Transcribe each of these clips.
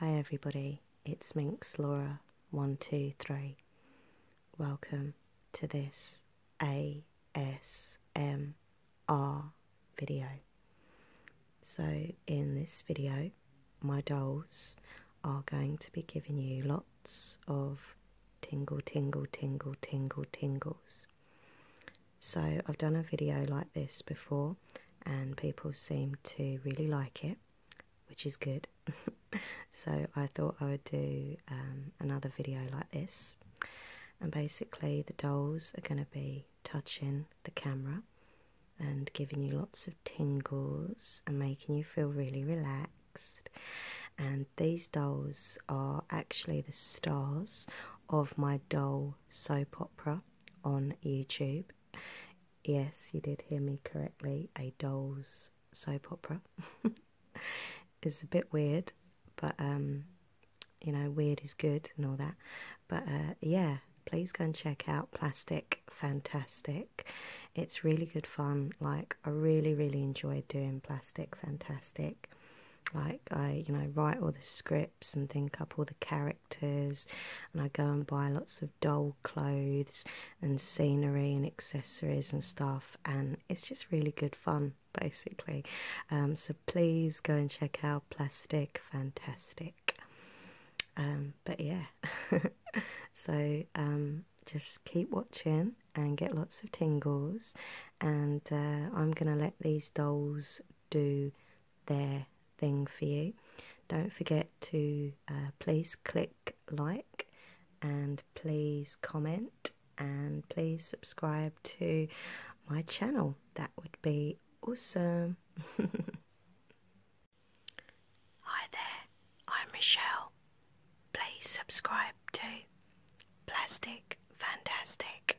Hi everybody, it's Minks Laura, one, two, three. Welcome to this ASMR video. So in this video, my dolls are going to be giving you lots of tingle, tingle, tingle, tingle, tingles. So I've done a video like this before and people seem to really like it, which is good. so I thought I would do um, another video like this. And basically the dolls are going to be touching the camera and giving you lots of tingles and making you feel really relaxed. And these dolls are actually the stars of my doll soap opera on YouTube. Yes, you did hear me correctly. A doll's soap opera. it's a bit weird, but um, you know, weird is good and all that. But uh, yeah, please go and check out Plastic Fantastic. It's really good fun. Like, I really, really enjoyed doing Plastic Fantastic. Like, I, you know, write all the scripts and think up all the characters, and I go and buy lots of doll clothes and scenery and accessories and stuff, and it's just really good fun basically. Um, so please go and check out Plastic Fantastic. Um, but yeah, so um, just keep watching and get lots of tingles, and uh, I'm gonna let these dolls do their thing for you. Don't forget to uh, please click like and please comment and please subscribe to my channel. That would be awesome. Hi there, I'm Michelle. Please subscribe to Plastic Fantastic.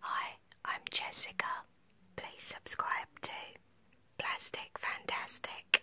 Hi, I'm Jessica. Please subscribe to Plastic Fantastic.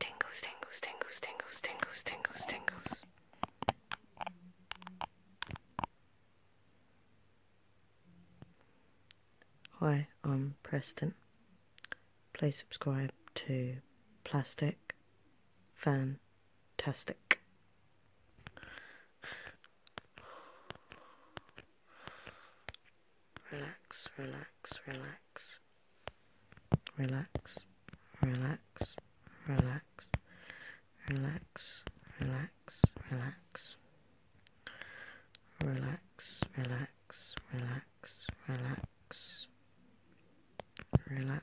Tingles, tingles, tingles, tingles, tingles, tingles, tingles. Hi, I'm Preston. Please subscribe to Plastic Fan Fantastic. Relax, relax, relax. Relax, relax, relax. Relax, relax, relax. Relax, relax, relax, relax. Relax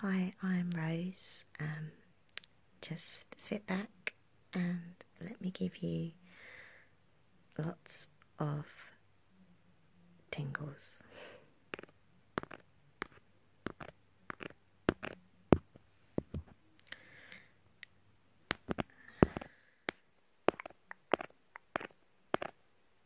Hi, I'm Rose. Um, just sit back and let me give you lots of tingles.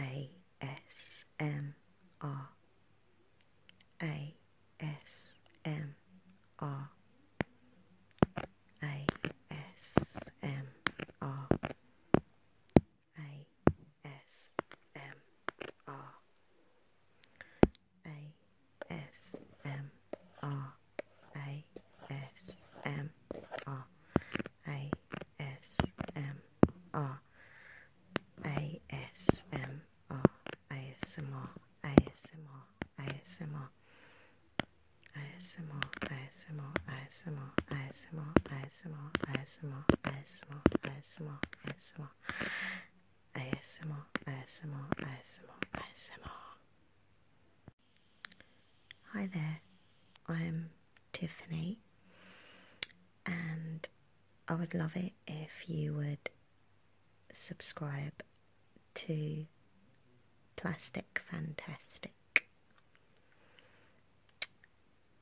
A S M R A S M. R A S M R A S M R A S M R A S M R A S M R A S M or ASMR, ASMR, ASMR, ASMR, ASMR, ASMR, ASMR, ASMR, ASMR, ASMR, ASMR, ASMR, ASMR, ASMR, ASMR, ASMR. Hi there, I'm Tiffany, and I would love it if you would subscribe to Plastic Fantastic.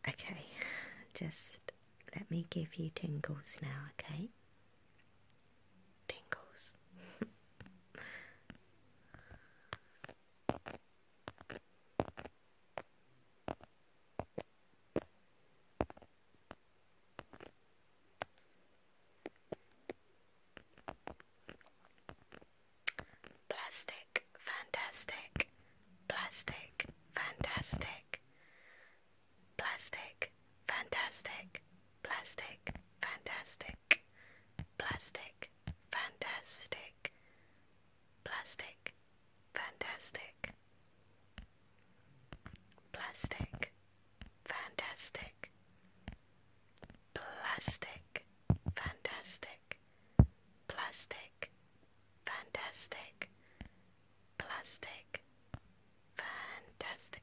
Okay, just let me give you tingles now, okay? Tingles. Plastic, fantastic, plastic, fantastic, plastic, fantastic, plastic, fantastic, plastic, fantastic, plastic, fantastic, plastic, fantastic, plastic, fantastic, plastic, fantastic, plastic, fantastic.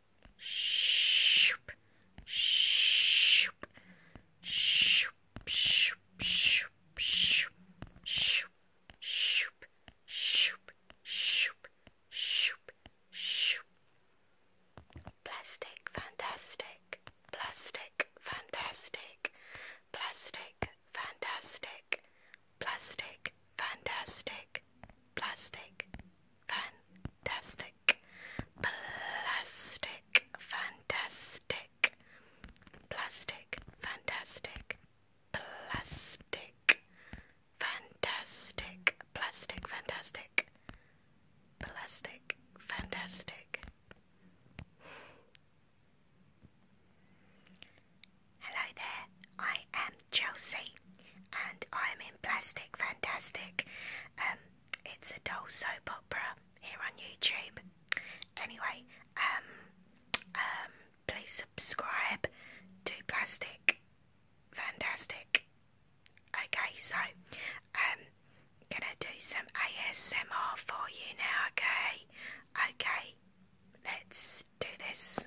Shoop. Shoop. Shoop. Shoop. Shoop. Shoop. Shoop. Shoop. Shoop. Shoop. Shoop. Shoop. Plastic fantastic. Plastic fantastic. Plastic fantastic. Plastic fantastic. Plastic fantastic, plastic, fantastic, plastic, fantastic, plastic, fantastic, plastic, fantastic, plastic, fantastic. Hello there, I am Chelsea, and I'm in Plastic Fantastic. Um, it's a doll soap opera here on YouTube. Anyway, um, um, please subscribe to Plastic Fantastic. Okay, so I'm gonna do some ASMR for you now. Okay, okay, let's do this.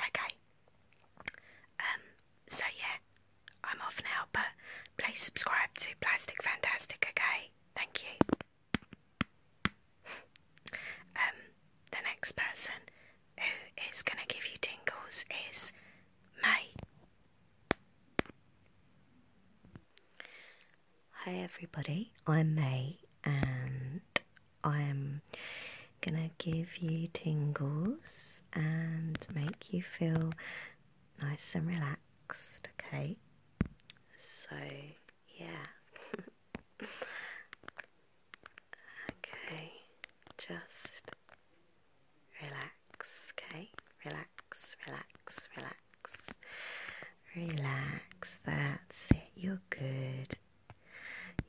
Okay. Um, so yeah, I'm off now, but please subscribe to Plastic Fantastic, okay? Thank you. um, the next person who is going to give you tingles is May. Hi, everybody, I'm May, and I'm going to give you tingles and make you feel nice and relaxed, okay? So, yeah. okay, just Relax, okay? Relax, relax, relax. Relax, that's it. You're good.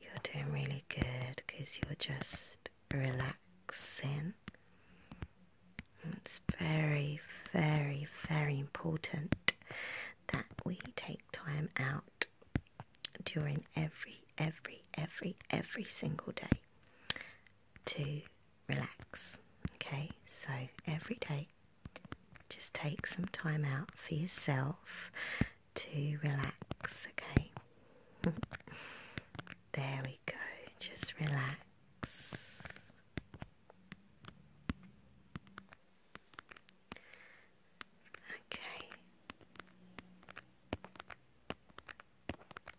You're doing really good because you're just relaxing. it's very, very, very important that we take time out during every, every, every, every single day to relax. Okay, so every day just take some time out for yourself to relax. Okay, there we go, just relax. Okay.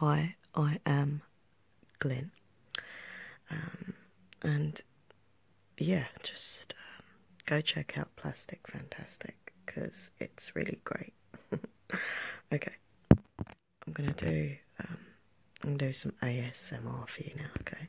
Hi, I am Glyn. Um, and yeah, just um, go check out Plastic Fantastic because it's really great. okay, I'm gonna do um, I'm gonna do some ASMR for you now. Okay.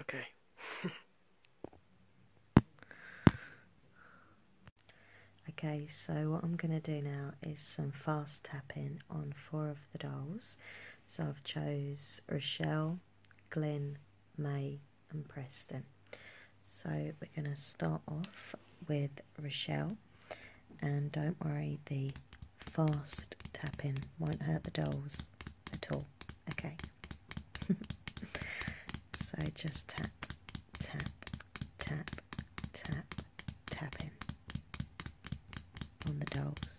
Okay. okay, so what I'm going to do now is some fast tapping on four of the dolls. So I've chose Rochelle, Glen, May and Preston. So we're going to start off with Rochelle. And don't worry, the fast tapping won't hurt the dolls at all. Okay. so just tap, tap, tap, tap, tap in on the dogs.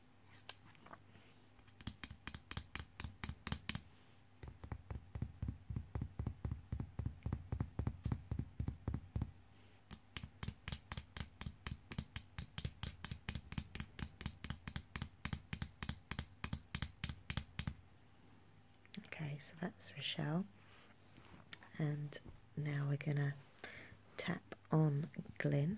Okay, so that's Rochelle, and now we're gonna Tap on Glyn.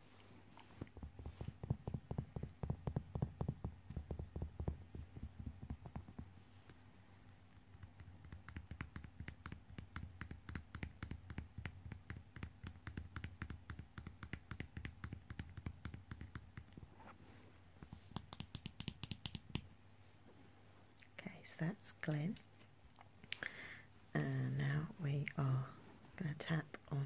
Okay, so that's Glen, and now we are going to tap on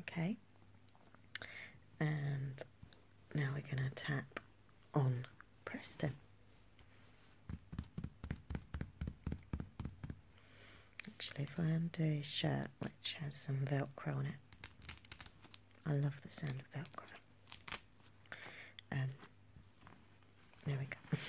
Okay, and now we're going to tap on Preston. Actually, if I undo his shirt, which has some Velcro on it, I love the sound of Velcro. Um, there we go.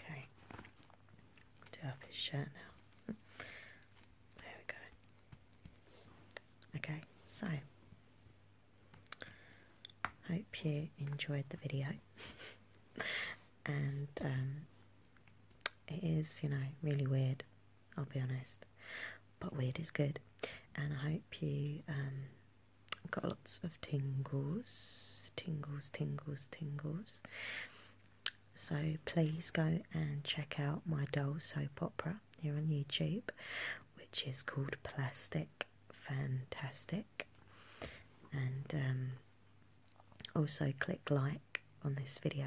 Okay, do up his shirt now. There we go. Okay, so hope you enjoyed the video, and um, it is, you know, really weird. I'll be honest but weird is good. And I hope you um, got lots of tingles, tingles, tingles, tingles. So please go and check out my doll soap opera here on YouTube, which is called Plastic Fantastic. And um, also click like on this video